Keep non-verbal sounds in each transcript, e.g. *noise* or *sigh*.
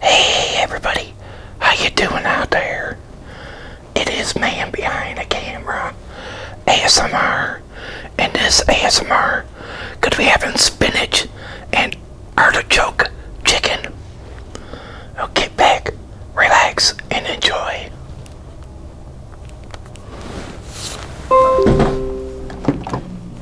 Hey everybody, how you doing out there? It is man behind the camera, ASMR, and this ASMR could be having spinach and artichoke chicken. Now oh, get back, relax, and enjoy.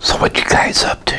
So what you guys up to?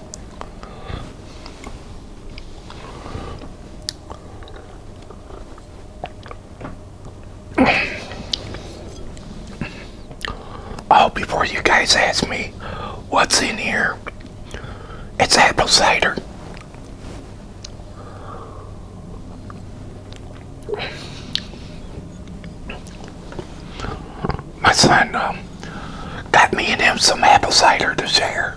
Oh, before you guys ask me what's in here, it's apple cider. My son um, got me and him some apple cider to share.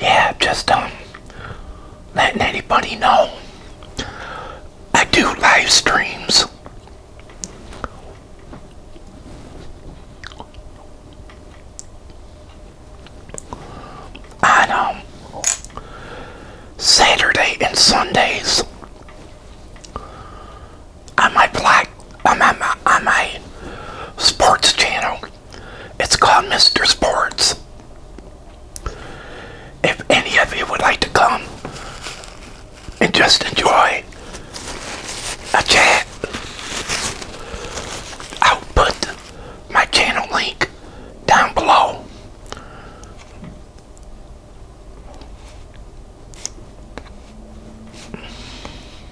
yeah, just um, letting anybody know I do live streams. On um, Saturday and Sundays on my black on my, on my sports channel. It's called Mr. Sports. If any of you would like to come and just enjoy a chat, I'll put my channel link down below.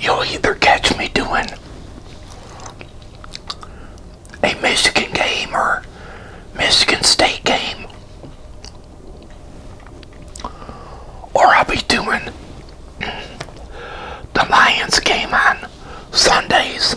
You'll either catch me doing a Michigan game or Michigan State game, or I'll be doing the Lions game on Sundays.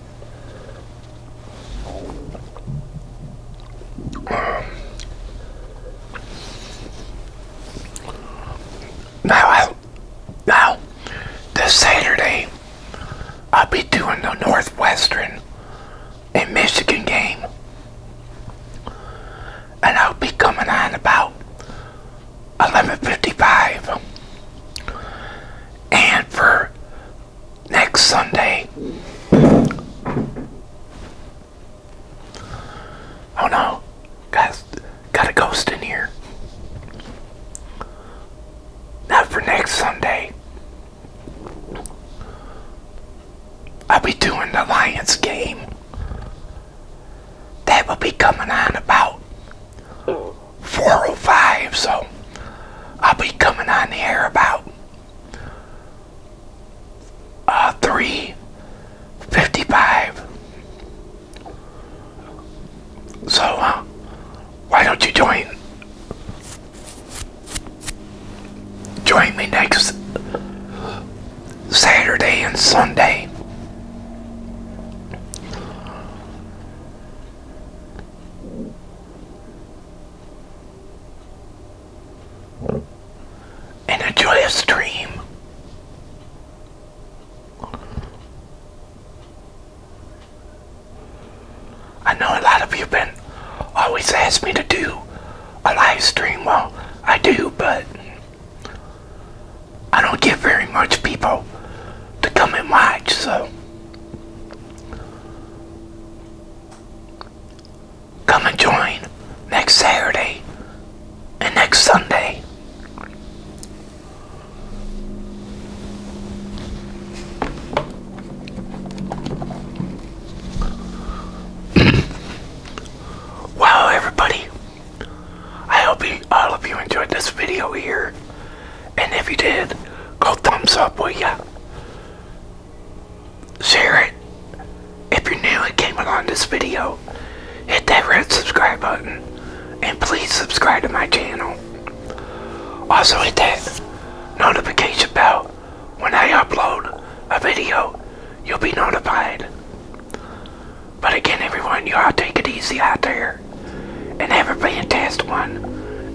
Now, now, this Saturday, I'll be doing the Northwestern and Michigan game. And I'll be coming on about 11.55. And for next Sunday. Oh no, guys, got a ghost in here. Not for next Sunday. I'll be doing the Lions game. That will be coming on about 4.05, so I'll be coming on here about uh, three fifty-five. So, uh, why don't you join join me next Saturday and Sunday? and a joyous dream. I know a lot of you have been always asked me to do a live stream. Well, I do, but I don't get very much people to come and watch, so Come and join next Saturday and next Sunday. *coughs* wow, everybody. I hope all of you enjoyed this video here. And if you did, go thumbs up, will ya? share it. If you're new and came along this video, hit that red subscribe button and please subscribe to my channel. Also hit that notification bell. When I upload a video, you'll be notified. But again, everyone, you all take it easy out there and have a fantastic one.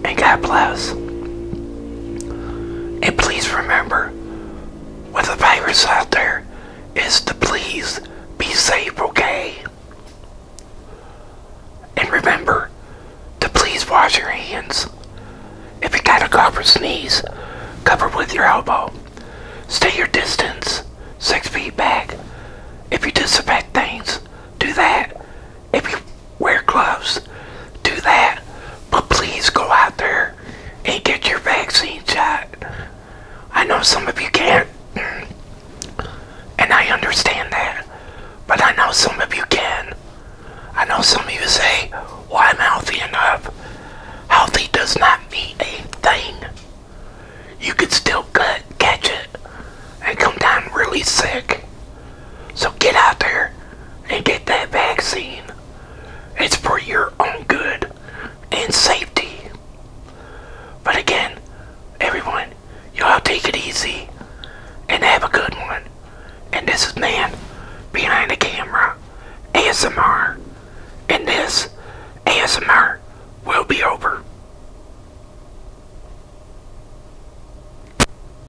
And God bless. And please remember, with the virus out there, is to please be safe, okay? And remember to please wash your hands. If you got a cough or sneeze, cover with your elbow. Stay your distance, six feet back. If you disinfect things, do that if you wear gloves, do that. But please go out there and get your vaccine shot. I know some of you can't, and I understand that. But I know some of you can. I know some of you say, well, I'm healthy enough. Healthy does not mean anything. You could still catch it and come down really sick. So get out there and get that vaccine. It's for your own good and safety. But again, everyone, y'all take it easy and have a good one. And this is Man Behind the Camera ASMR. And this ASMR will be over.